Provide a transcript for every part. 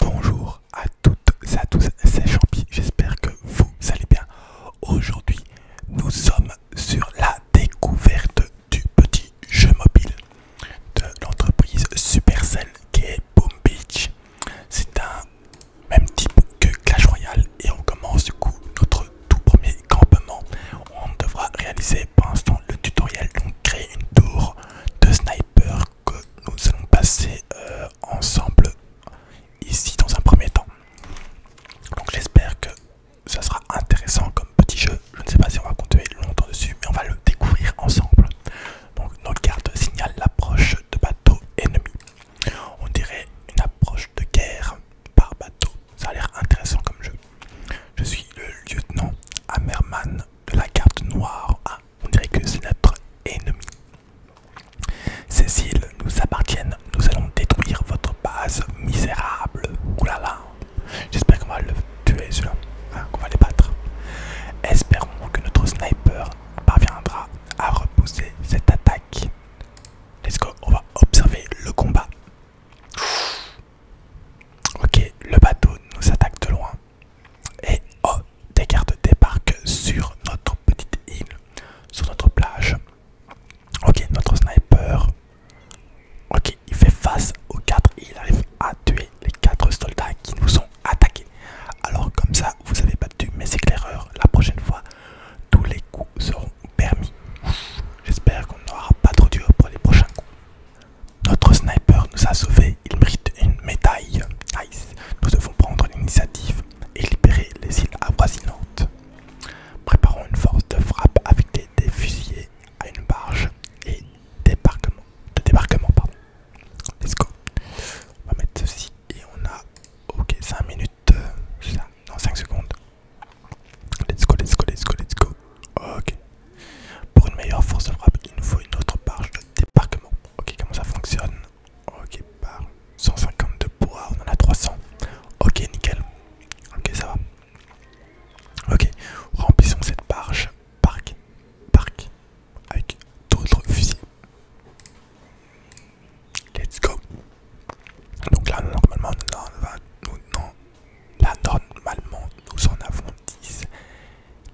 Bonjour à toutes et à tous, c'est Champi, j'espère que vous allez bien. Aujourd'hui, nous sommes sur la découverte du petit jeu mobile de l'entreprise Supercell qui est Boom Beach. C'est un même type que Clash Royale et on commence du coup notre tout premier campement. On devra réaliser pour l'instant le tutoriel, donc créer une tour de sniper que nous allons passer euh, ensemble ici dans un premier temps. Donc j'espère que ça sera intéressant comme petit jeu. Je ne sais pas si on va continuer longtemps dessus, mais on va le découvrir ensemble. Donc notre carte signale l'approche de bateau ennemi On dirait une approche de guerre par bateau. Ça a l'air intéressant comme jeu. Je suis le lieutenant Hammerman de la carte noire on dirait que c'est notre ennemi. Ces îles nous appartiennent, nous allons détruire votre base misérable. Oulala, j'espère qu'on va le tuer celui-là, hein, qu'on va les battre. Espérons que notre sniper parviendra à repousser cette attaque. Let's go, on va observer le combat. Ok, le bateau nous attaque de loin. Et oh, des cartes débarquent sur notre petite île, sur notre plage. Ok, notre sniper. Ok, il fait face aux quatre et il arrive à tuer les quatre soldats qui nous ont attaqués. Alors comme ça, vous avez battu mes éclaireurs. La prochaine fois, tous les coups seront permis. J'espère qu'on n'aura pas trop dur pour les prochains coups. Notre sniper nous a sauvés, il mérite une médaille. Nice. Nous devons prendre l'initiative et libérer les îles avoisinantes. Préparons une force de frappe avec des, fusillés à une barge et débarquement, de débarquement. Pardon. Let's go. On va mettre ceci et on a ok 5 minutes, euh, non 5 secondes. Let's go, let's go, let's go, let's go. Ok. Pour une meilleure force de frappe, il nous faut une autre barge de débarquement. Ok, comment ça fonctionne Ok, par 152 poids, on en a 300. Ok, nickel. Ok, ça va. Ok, remplissons cette barge. Parc, parc, avec d'autres fusils. Let's go. Donc là, normalement, on va, non, Là, normalement, nous en avons 10.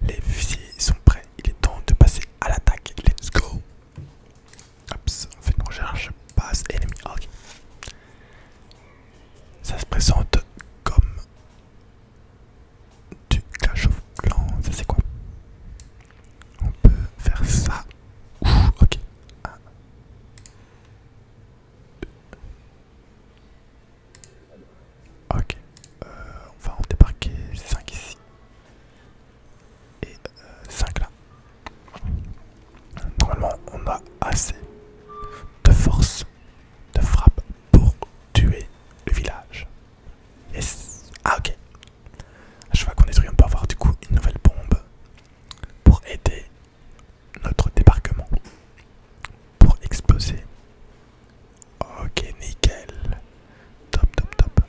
Les fusils sont prêts. Il est temps de passer à l'attaque. Let's go. on fait une recherche. base, ennemi. Ok. Ça se présente comme du clash of clans. Ça, c'est quoi On peut faire ça. ok. Ok, euh, on va en débarquer 5 ici et 5 euh, là. Normalement, on a assez de force, de frappe pour tuer le village. Ah, ok! Je vois qu'on détruit, on peut avoir du coup une nouvelle bombe pour aider notre débarquement pour exploser. Ok, nickel. Top, top, top.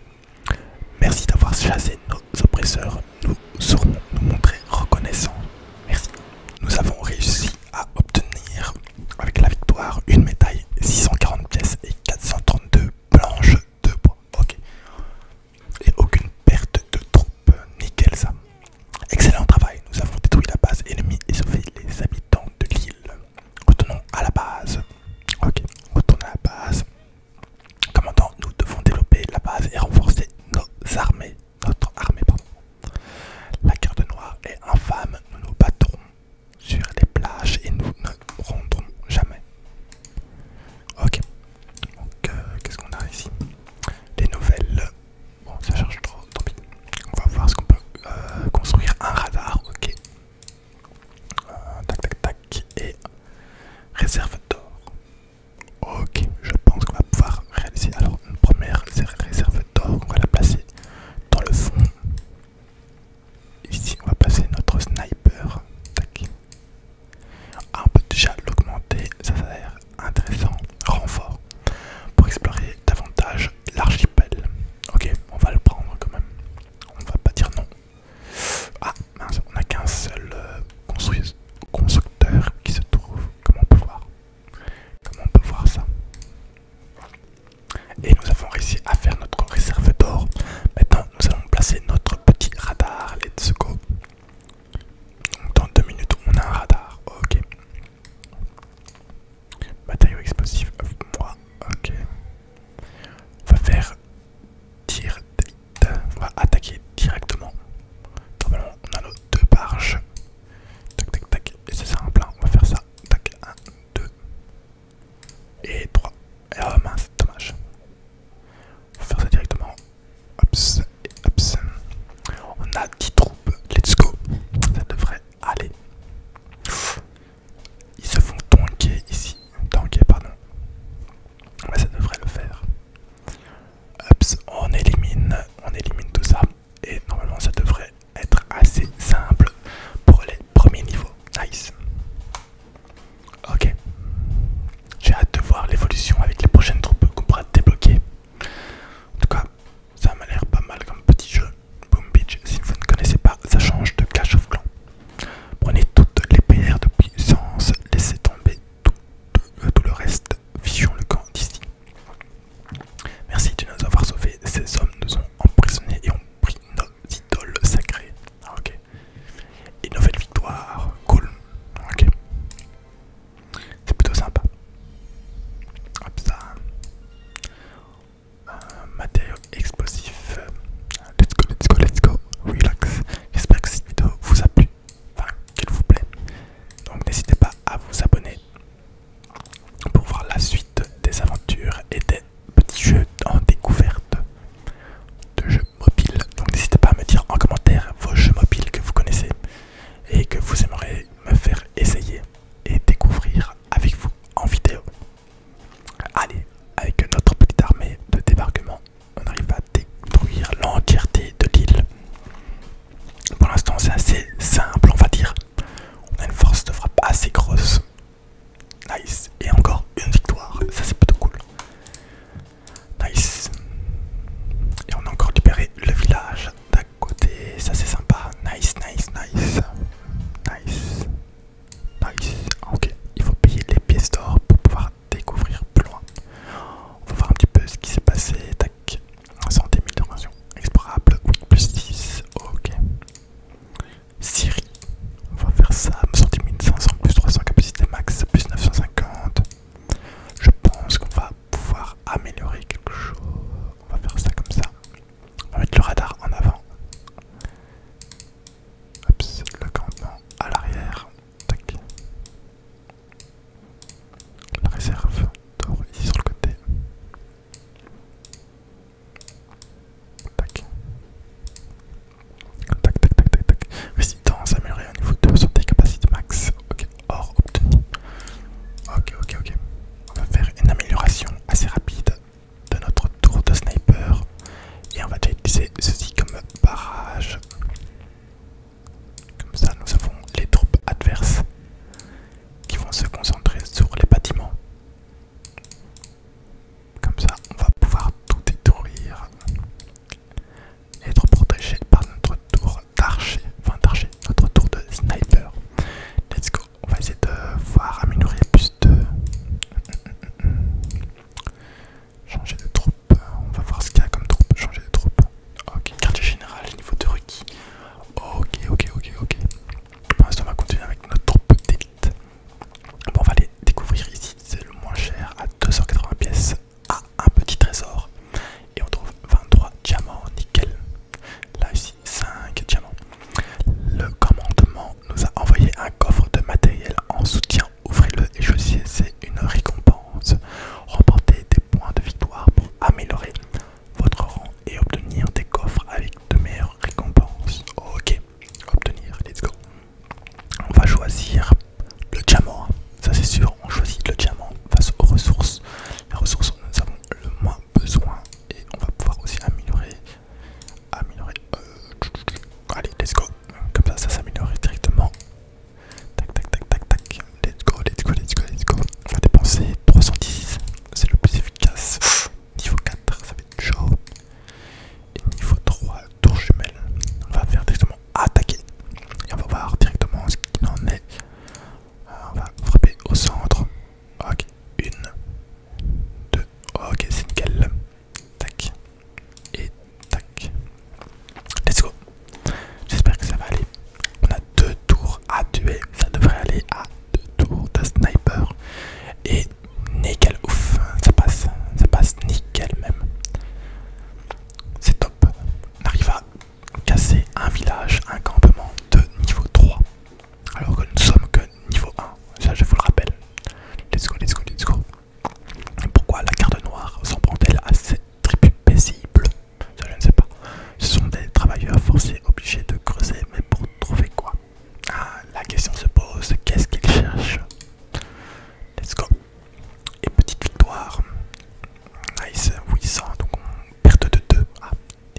Merci d'avoir chassé nos oppresseurs. Nous saurons nous montrer reconnaissants. Merci. Nous avons réussi à obtenir, avec la victoire, une médaille 640 pièces et 432 planches de bois. Ok. Et aucune perte de troupes nickel ça. Excellent travail, nous avons détruit la base ennemie et sauvé les habitants de l'île. Retournons à la base. Ok, retournons à la base. Commandant, nous devons développer la base et renforcer nos armées. Notre armée, pardon. La de noire est infâme, nous nous battrons sur les plages et nous ne rendrons jamais. Ok, donc euh, qu'est-ce qu'on a ici Les nouvelles Bon, ça charge trop, tant pis. On va voir ce qu'on peut euh, construire. Un radar, ok. Euh, tac, Et réserve d'or. Ok, je pense qu'on va pouvoir réaliser. Alors, une première réserve d'or, on va la placer dans le fond. Ici, on va placer notre sniper. Tac. Ah, on peut déjà l'augmenter. Ça, ça a intéressant renfort pour explorer davantage l'archipel. Ok, on va le prendre quand même. On va pas dire non. Ah on n'a qu'un seul euh, constructeur qui se trouve. comment on peut voir. Comment on peut voir ça. Et nous avons réussi à faire notre réserve d'or. Maintenant, nous allons placer notre petit radar. Let's go dans deux minutes, on a un radar. Ok. Matériaux explosif. Euh, moi. Ok. On va faire tir On va attaquer directement. Normalement, on a nos deux barges. Tac, tac, tac. Et c'est simple. On va faire ça. Tac, 1, 2 et 3. Et oh mince, dommage. On va faire ça directement. Ops et On a 10 troupes. Let's go. Ça devrait aller. Ils se font tanker ici. Tanker, pardon. ça devrait le faire. on élimine. On élimine tout ça. Et normalement, ça devrait être assez simple pour les premiers niveaux. Nice. Ok. J'ai hâte de voir l'évolution avec les prochaines troupes qu'on pourra débloquer. En tout cas, ça m'a l'air pas mal comme petit jeu. Boom Beach, si vous ne connaissez pas, ça change de Clash of Clans. Prenez toutes les PR de puissance, laissez tomber tout, le reste, vision le camp d'ici. Merci de nous avoir sauvés, ces hommes nous ont emprisonnés et ont pris nos idoles sacrées. Ah, ok. Et nouvelle victoire, cool. Ok. C'est plutôt sympa. Hop ça. explosif. Let's go, let's go, let's go. Relax. J'espère que cette vidéo vous a plu. Enfin, qu'elle vous plaît. Donc n'hésitez pas à vous abonner pour voir la suite des aventures et des petits jeux en découverte de jeux mobile. Donc n'hésitez pas à me dire en commentaire vos jeux mobiles que vous connaissez et que vous aimeriez me faire essayer et découvrir avec vous en vidéo. Allez, avec notre petite armée de débarquement, on arrive à détruire l'entièreté de l'île. Pour l'instant c'est assez simple on va dire. On a une force de frappe assez grosse. Nice. Et encore une victoire. Ça c'est plutôt cool. Nice. Et on a encore libéré le village d'à côté. Ça c'est sympa. Nice, nice, nice. Nice. Nice. Ah, ok. Il faut payer les pièces d'or pour pouvoir découvrir plus loin. On va voir un petit peu ce qui s'est passé. Tac. de 000 Explorable. explorables, plus 10, Ok. Syrie. On va faire ça, me sortir 1500 plus 300 capacité max plus 950. Je pense qu'on va pouvoir améliorer quelque chose. On va faire ça comme ça. On va mettre le radar en avant. le campement à l'arrière. Tac. La réserve d'or ici sur le côté. Tac. Tac, tac, tac, tac, tac. Résistance améliorée au niveau 2, santé, capacité max. Ok, or obtenu. Ok, ok, ok. On va faire une amélioration assez rapide de notre tour de sniper. Et on va déjà utiliser ceci comme barrage. Comme ça, nous avons les troupes adverses qui vont se concentrer sur les bâtiments. Comme ça, on va pouvoir tout détruire et être protégé par notre tour d'archer, enfin d'archer, notre tour de sniper. Let's go, on va essayer de voir améliorer plus de... Changer de troupe, on va voir ce qu'il y a comme troupe, changer de troupe. Ok, quartier général, niveau de requis. Ok, ok, ok, ok. Pour l'instant, on va continuer avec notre troupe Bon, on va aller découvrir ici, c'est le moins cher à 280 pièces à un petit trésor. Et on trouve 23 diamants, nickel. Là, ici, 5 diamants. Le commandement nous a envoyé un coffre de matériel en soutien. Ouvrez-le et choisissez une récompense. Remportez des points de victoire pour améliorer votre rang et obtenir des coffres avec de meilleures récompenses. Ok, obtenir, let's go on va choisir le diamant, hein. ça c'est sûr, on choisit le diamant face aux ressources. Les ressources dont nous avons le moins besoin et on va pouvoir aussi améliorer. Améliorer. Euh, allez, let's go. Comme ça, ça s'améliore directement. Tac, tac, tac, tac, tac. Let's go, let's go, let's go, let's go. On va dépenser 310, c'est le plus efficace. Niveau 4, ça va être chaud. Et niveau 3, tour jumelle. On va faire directement attaquer. Et on va voir directement ce qu'il en est. Euh, on va frapper au centre. Ok, une, deux. Ok, c'est nickel. Tac. Et tac. Let's go. J'espère que ça va aller. On a deux tours à tuer. Ça devrait aller à deux tours de sniper. Et nickel, ouf, ça passe, ça passe nickel même. C'est top. On arrive à casser un village, un campement de niveau 3. Alors que nous sommes que niveau 1, ça je vous le rappelle. Let's go, let's go, let's go. Pourquoi la garde noire s'en prend-elle à cette tribu paisible Ça je ne sais pas. Ce sont des travailleurs forcés obligés de creuser, mais pour trouver quoi ah, La question se pose, qu'est-ce qu'il cherche Let's go. Et petite victoire. Nice, 800, donc on perd de 2. Ah,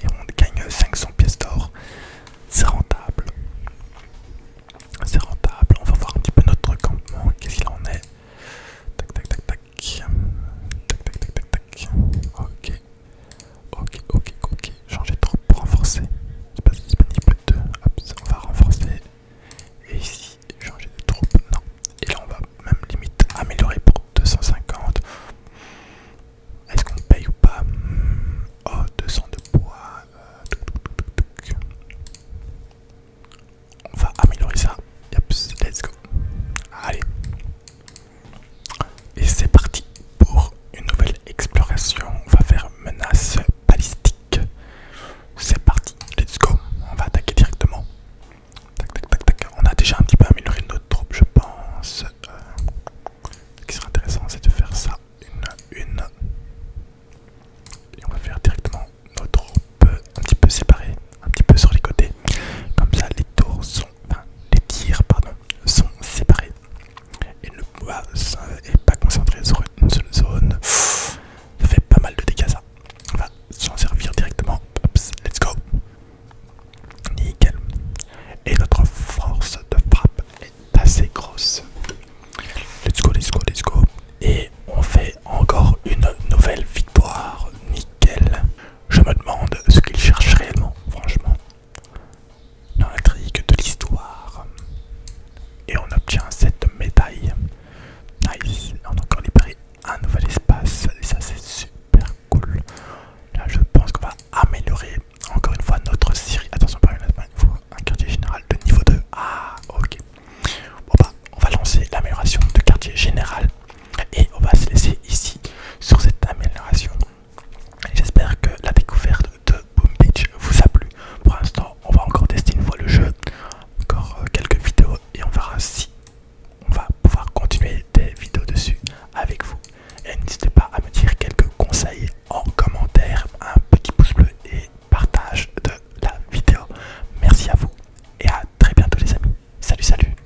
et on gagne 500 pièces d'or. C'est rentable. C'est rentable. On va voir un petit peu notre campement. Qu'est-ce qu'il en est Tac, tac, tac, tac. Tac, tac, tac, tac, tac. Ok. Ok, ok, ok. Changer de troupe pour renforcer. C'est pas disponible 2. On va renforcer. Et ici, changer de troupe. Non. Et là, on va même limite améliorer pour 250. Est-ce qu'on paye ou pas hmm. Oh, 200 de bois. Euh, on va améliorer ça. let's go. Allez, et c'est parti pour une nouvelle exploration. On va faire menace balistique. C'est parti, let's go. On va attaquer directement. Tac, tac, tac, tac. On a déjà un petit peu amélioré notre troupe, je pense. Euh, ce qui sera intéressant, c'est de faire ça une une. Et on va faire directement notre troupe, un petit peu séparée, un petit peu sur les côtés. Comme ça, les tours sont, enfin, les tirs, pardon, sont séparés et ne pas concentré sur une seule zone. ça fait pas mal de dégâts ça. On va s'en servir directement. let's go. Nickel. Et notre force de frappe est assez grosse. Let's go, let's go, let's go. Et on fait encore une nouvelle victoire. Nickel. Je me demande ce qu'il cherche réellement, franchement dans la trique de l'histoire. Et on obtient cette médaille. Nice. On a encore libéré un nouvel espace. Et ça c'est super cool. Là je pense qu'on va améliorer encore une fois notre série. Attention par exemple, il un quartier général de niveau 2. Ah ok. Bon bah on va lancer l'amélioration de quartier général. Et on va se laisser ici sur cette amélioration J'espère que la découverte de Boom Beach vous a plu. Pour l'instant, on va encore tester une fois le jeu, encore euh, quelques vidéos et on verra si on va pouvoir continuer des vidéos dessus avec vous. Et n'hésitez pas à me dire quelques conseils en commentaire, un petit pouce bleu et partage de la vidéo. Merci à vous et à très bientôt les amis. Salut salut